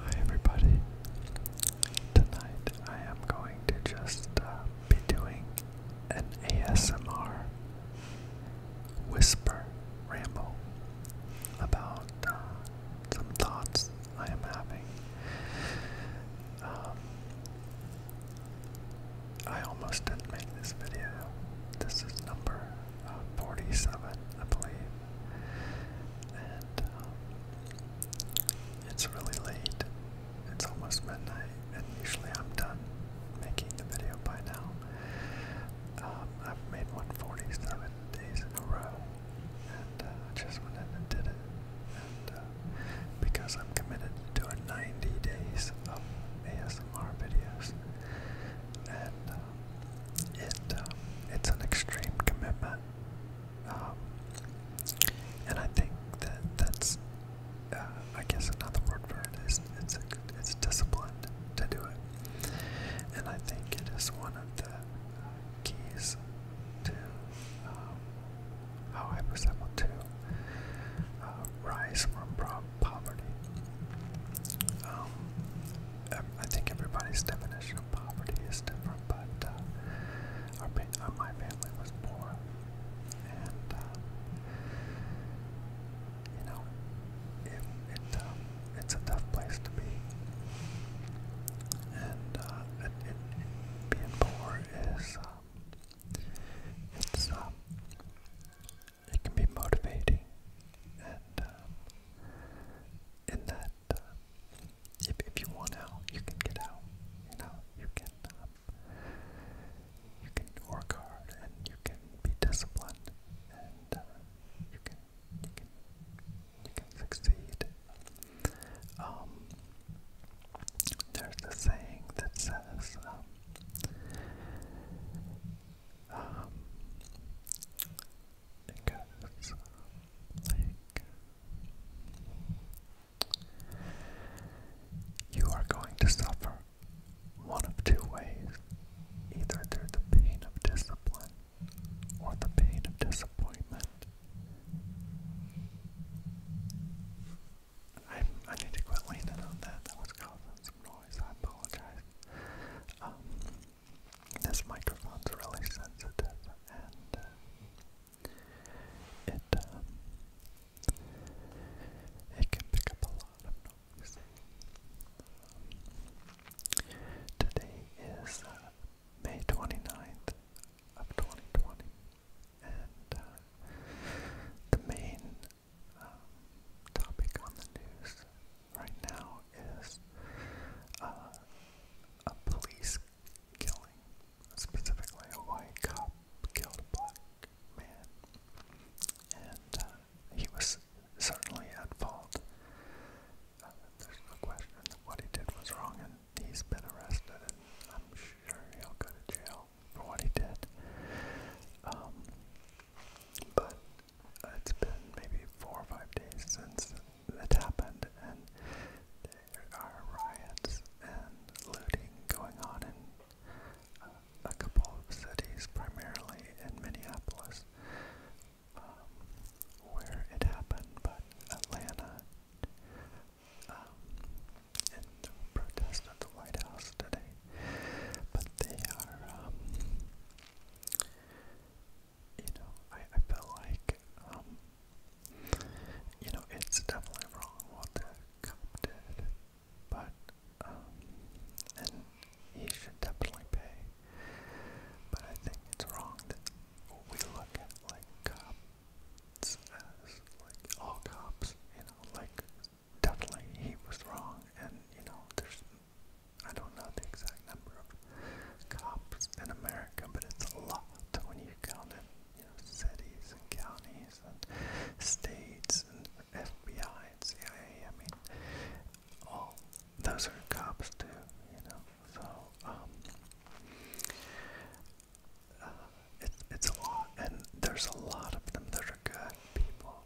Hi everybody. Tonight I am going to just uh, be doing an ASMR whisper ramble about uh, some thoughts I am having. Um, I almost didn't make this video. This is number 47, I believe. And um, it's really late. It's almost midnight, and usually I'm done making the video by now. Um, I've made 147 days in a row, and uh, I just went in and did it. And uh, because I'm committed to doing 90 days of ASMR videos, and uh, it um, it's an extreme commitment, um, and I think that that's uh, I guess another word for it is it's a, it's disciplined to do it, and I think it is one of the uh, keys to um, how I was able to uh, rise from, from poverty. Um, I think everybody's definition of poverty is different, but uh, uh, my family was poor, and uh, you know, it, it um, it's a tough place to be, and uh, being poor is um, it can be motivating, and um, in that, uh, if if you want out, you can get out. You know, you can um, you can work hard, and you can be disciplined, and uh, you can you can succeed. Um, there's a saying that says. Um, um, because, you are going to suffer one of two ways either through the pain of discipline or the pain of disappointment. i I need to quit leaning on that. That was causing some noise. I apologize. Um, this microphone's really sensitive, and uh, it um, it can pick up a lot of noise. Um, today is uh, May 29th of 2020, and uh, the main topic on the news right now is uh, a police killing, specifically a white cop killed a black man, and uh, he was certainly at fault. Uh, there's no question that what he did was wrong, and he's been arrested, and I'm sure he'll go to jail for what he did. Um, but it's been maybe four or five days since it happened, and there are riots and looting going on in uh, a couple of cities, primarily in Minneapolis, um, where it happened, but Atlanta, um, in protest at the White House today, but they are, um, you know, I, I feel like, um, you know, it's definitely wrong what the cop did, but, um, and he should definitely pay, but I think it's wrong that we look at, like, cops as, like, all cops, you know, like, definitely he was wrong, and you know, there's I don't know the exact number of cops in America, but it's a lot when you count it, you know, cities and counties and states and FBI and CIA. I mean, all those are cops too, you know. So um, uh, it's it's a lot, and there's a lot of them that are good people.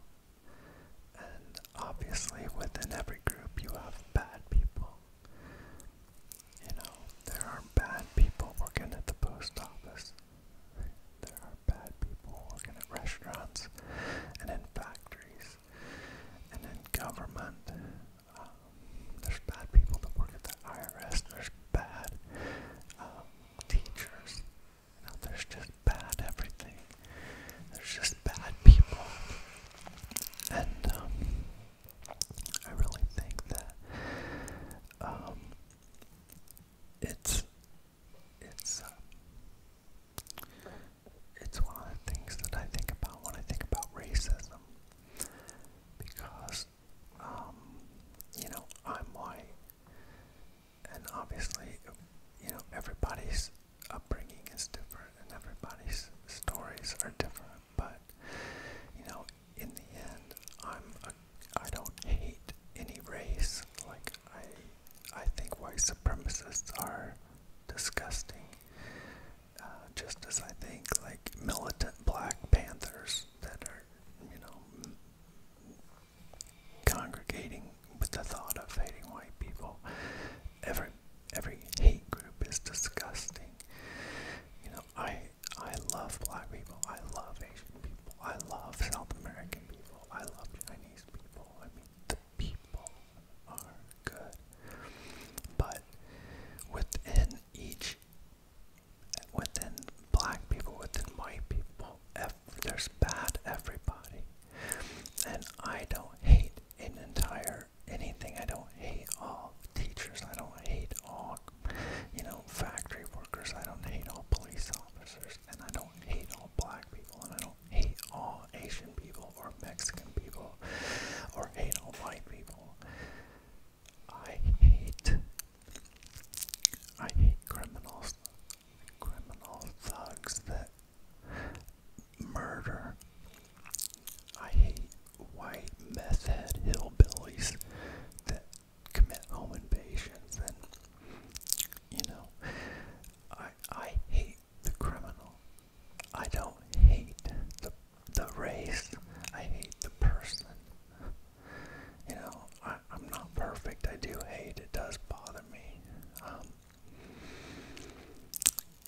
And obviously, within every group, you have bad people. You know, there are bad people working at the post office. There are bad people working at restaurants and in factories and in government. Um, there's bad people that work at the IRS. There's bad um, teachers there's just bad everything. There's just bad people. And um, I really think that um, it's it's uh, it's one of the things that I think about when I think about racism because um, you know I'm white and obviously, you know, everybody's upbringing is different and everybody's stories are different, but, you know, in the end, I'm a, I don't hate any race. Like, I, I think white supremacists are disgusting. Uh, just as I think, like militant Black Panthers that are, you know, congregating with the thought of hating white people. Every every hate group is disgusting. You know, I I love black people. I love Asian people. I love South American people. I love Chinese people. I mean, the people are good. But within each, within black people, within white people, there's bad everybody. And I don't hate an entire anything. I don't hate all teachers. I don't hate all, you know, factory workers. I don't hate all police officers. And I don't hate all black people. And I don't hate all Asian people or Mexican people or any all white people. I hate, I hate criminals criminal thugs that murder. I hate white meth head hillbillies that commit home invasions and you know I I hate the criminal. I don't hate the the race. I hate the person. You know, I, am not perfect. I do hate. It does bother me. Um,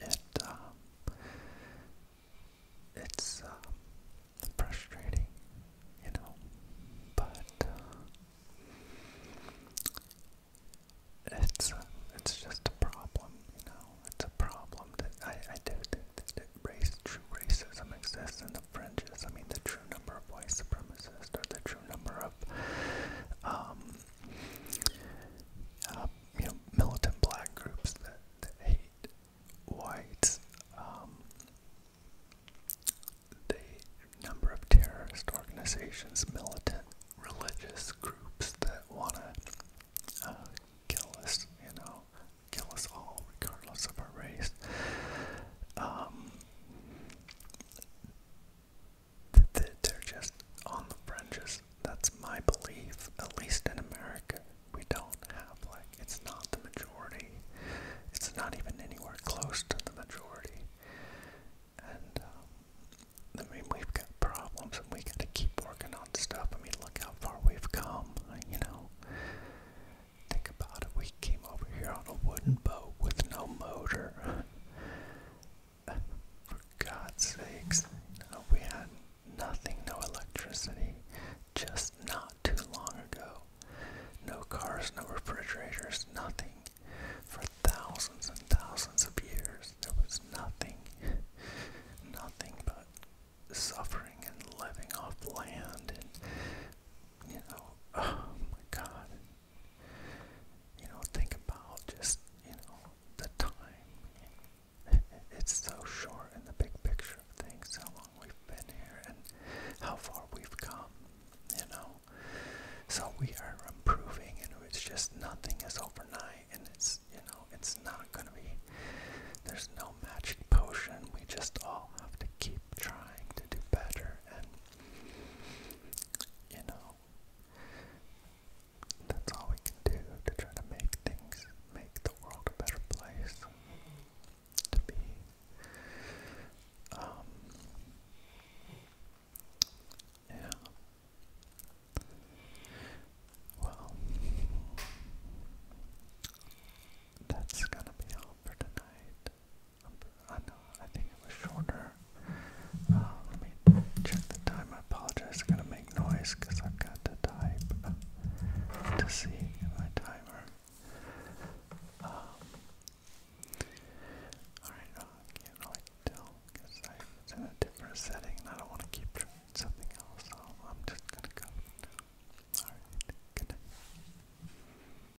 it um, it's uh, frustrating, you know. But uh, it's uh, it's just a problem, you know. It's a problem that I, I do think that race true racism exists in the fringes. I mean, the true number of white supremacists or the true number of um, uh, you know, militant black groups that, hate whites. Um, the number of terrorist organizations, militant religious groups that want to uh, kill us, you know, kill us all regardless of our race. Um, they're just on the fringes. That's my belief, at least in America. We don't have, like, it's not the majority. It's not even anywhere close to the majority. And, um, I mean, we've got problems and we gotta keep working on stuff. I mean, look how far we've come, you know. Think about it. We came over here on a wooden boat with no motor. For God's sakes, we had nothing, no electricity, just not too long ago. No cars, no refrigerators, nothing. For thousands and thousands of years, there was nothing, nothing but suffering and living off land and, you know, oh my God you know, think about just, you know, the time. It's so short in the big picture of things, how long we've been here and how far we've come, you know. So we are improving, and it's just nothing is overnight, and it's, you know, it's not going to be, there's no magic potion. We just all have to keep trying to do better you know, that's all we can do to try to make things, make the world a better place to be. Um, yeah. Well, that's gonna be all for tonight. I know, I think it was shorter. Uh, let me check the time. I apologize, it's going to make noise because I've got to type to see my timer. Um, Alright, no, I can't really tell because it's in a different setting and I don't want to keep trying something else, so I'm just going to go. Alright, good